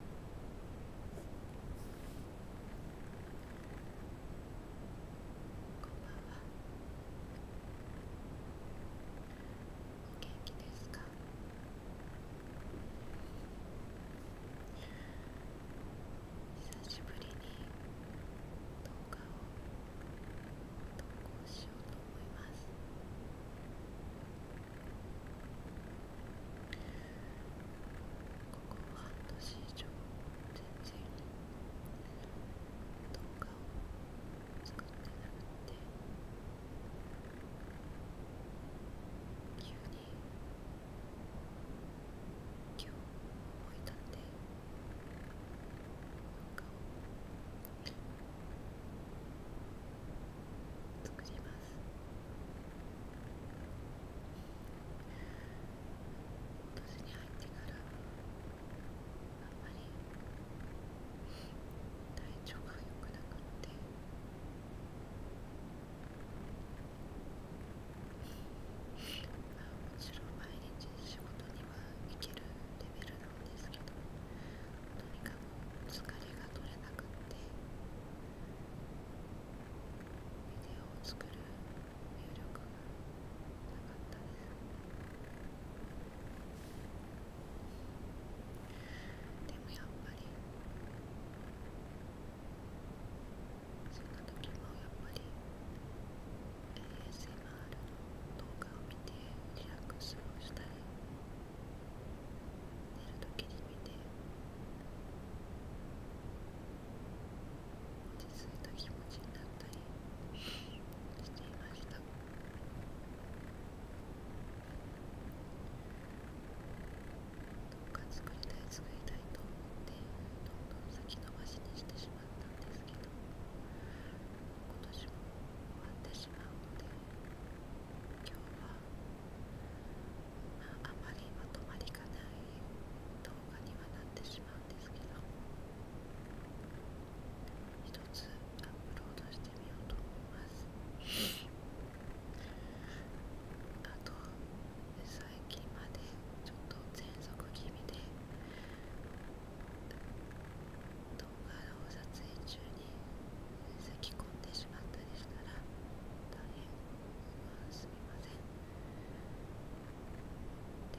お元気ですか久しぶりに動画を投稿しようと思います。ここ半年以上全然動画を作ってなくて急に今日動いたんで。動画を。作ります今年に入ってからあんまり体調が良くなくってまあもちろん毎日仕事には行けるレベルなんですけどとにかく疲れが取れなくってビデオを作る魅力がなかったですでもやっぱりその時もやっぱり s m r の動画を見てリラックスをしたり寝る時に見て落ち着いた気持ちになったりしていましたどっか作りたい作りたいと思ってどんどん先延ばしにしてしまったんですけど今年も終わってしまうので。今日は、あ、まりまとまりがない動画にはなってしまうんですけど1つアップロードしてみようと思いますあと最近までちょっと喘息気味で。動画撮影中に咳き込んでしまったりしたら大変すみませんで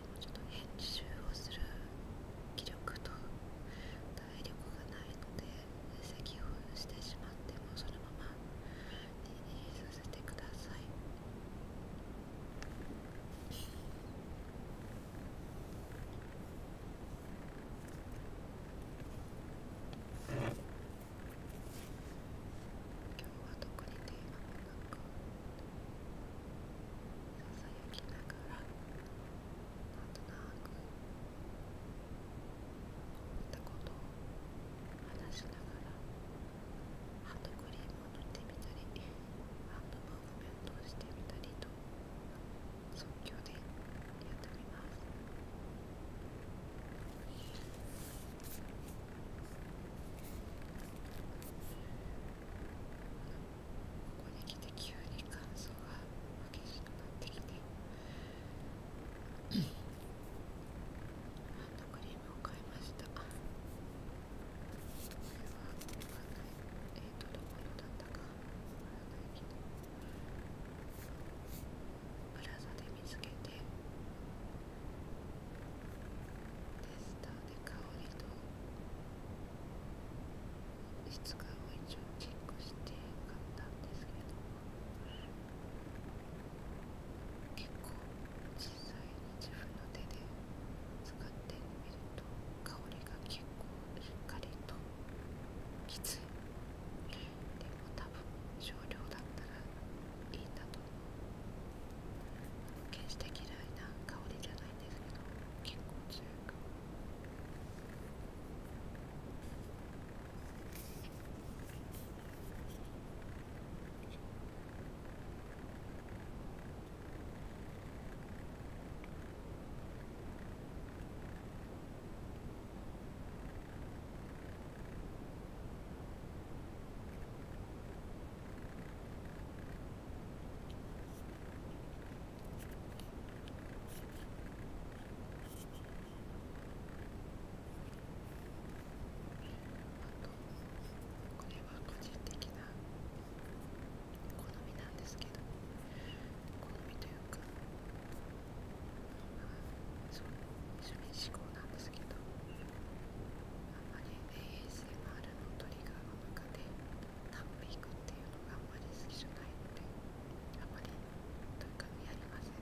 もちょっと編集をする気力と体力がないので咳をしてしまってもそのままにさせてください今日は特にテーマもなかささやきながらなんとなく思ったことを話しながらハンドクリームを塗ってみたりハンドムーブメントをしてみたりと。即興でやってみます。ここに来て急に乾燥が激しくなってきてハンドクリームを買いましたこれは買わないえっ、ー、プラザで見つけてテスターで香りと質感を一応チェックして買ったんですけど結構小さいの自分の手で使ってみると香りが結構しっかりときついでも多分少量だったらいいんだと思う決して嫌いな香りじゃないんですけど結構強い香りここれは個人的な好みなんですけど好みというか、まあ、そう趣思考なんですけどあんまり ASMR のトリガーの中でタンピ引くっていうのがあんまり好きじゃないのであんまりというかやりません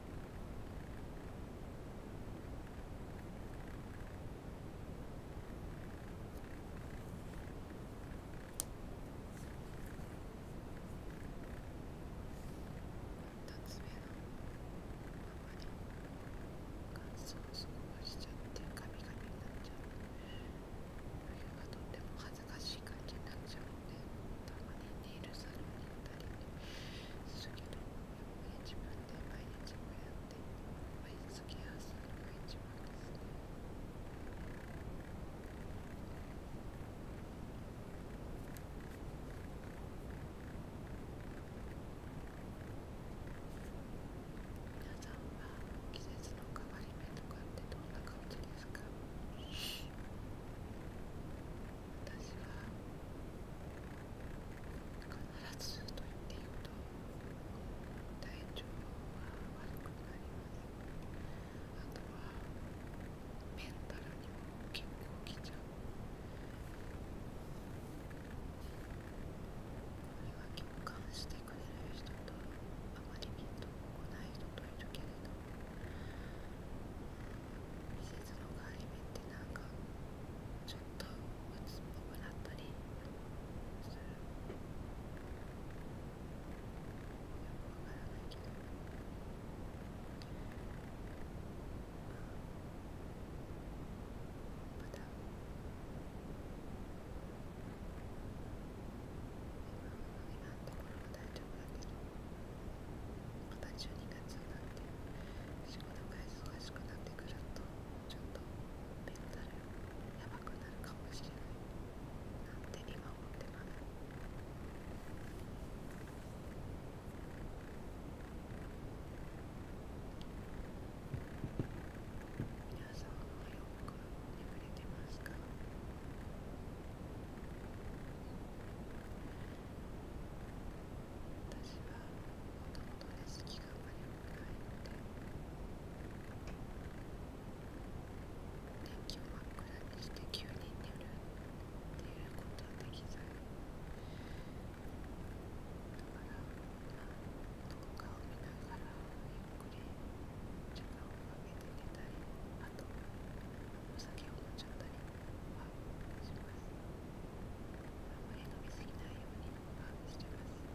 つ目のままに乾燥しちゃってカミカミになっちゃう冬がとっても恥ずかしい感じになっちゃうのでたまにってサロンに行ったるけど自分で毎日こうやって毎月やすのが一番ですね皆さんは季節の変わり目とかってどんな感じですか私は必ずと言っていいほど体調が悪くなりますあとはメンタルにも結構きちゃうこれは共感してくれる人とあまり見ンとこない人といるけれど季節の変わり目ってなんかちょっと鬱っぽくなったりするよくわからないけどまた今のところは大丈夫だけど。また12月になって仕事が忙しくなってくるとちょっとメンタルやばくなるかもしれないなんて今思ってます皆さんはよく眠れてますか私はもともとレスキがあまりくないので天気を真っ暗にして急に寝るっていうことはできないだからどこかを見ながらゆっくり時間をかけて寝たりあとお酒を飲んじゃったりはあんまり飲みすぎないようにはしてます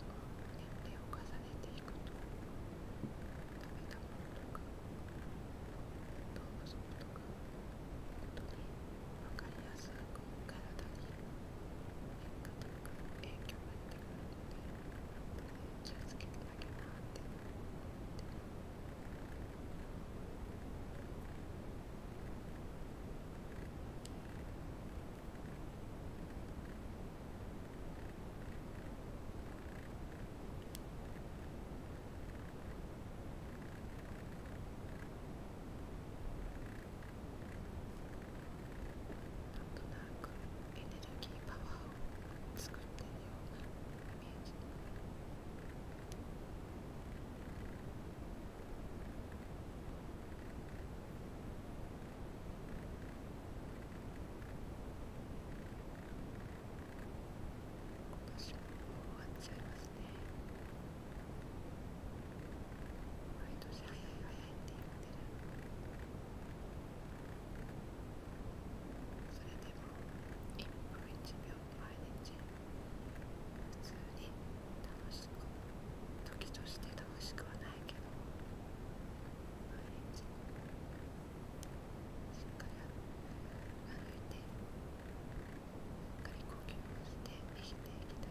あとは年齢を重ねていくと食べたものとか動物とか本当に分かりやすく体に変化というか影響が出てくるので気をつけてあげなって思ってなんとなくエネルギーパワーを作っているようなイメージこの尻尾終わっちゃいますますね毎年早い早いって言ってるそれでも1分1秒毎日普通に楽しく時として楽しくはないけど毎日しっかり歩いて。かり呼吸をして生きていきたいなってこ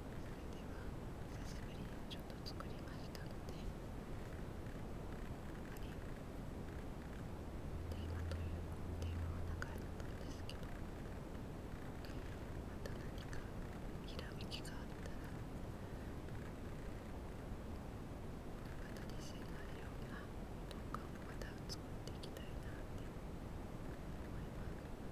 久しぶりにちょっと作りましたのであまりテーマというテーマはなかったんですけどまた何かひらめきがあったらまた自信があるようど動画をまた作っていきたいなって思います。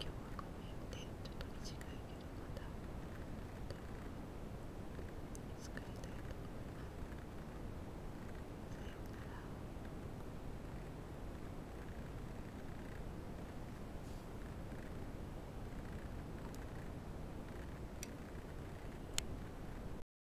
今日はごめんっちょっと短いけどまた作りたいと思いますさようなら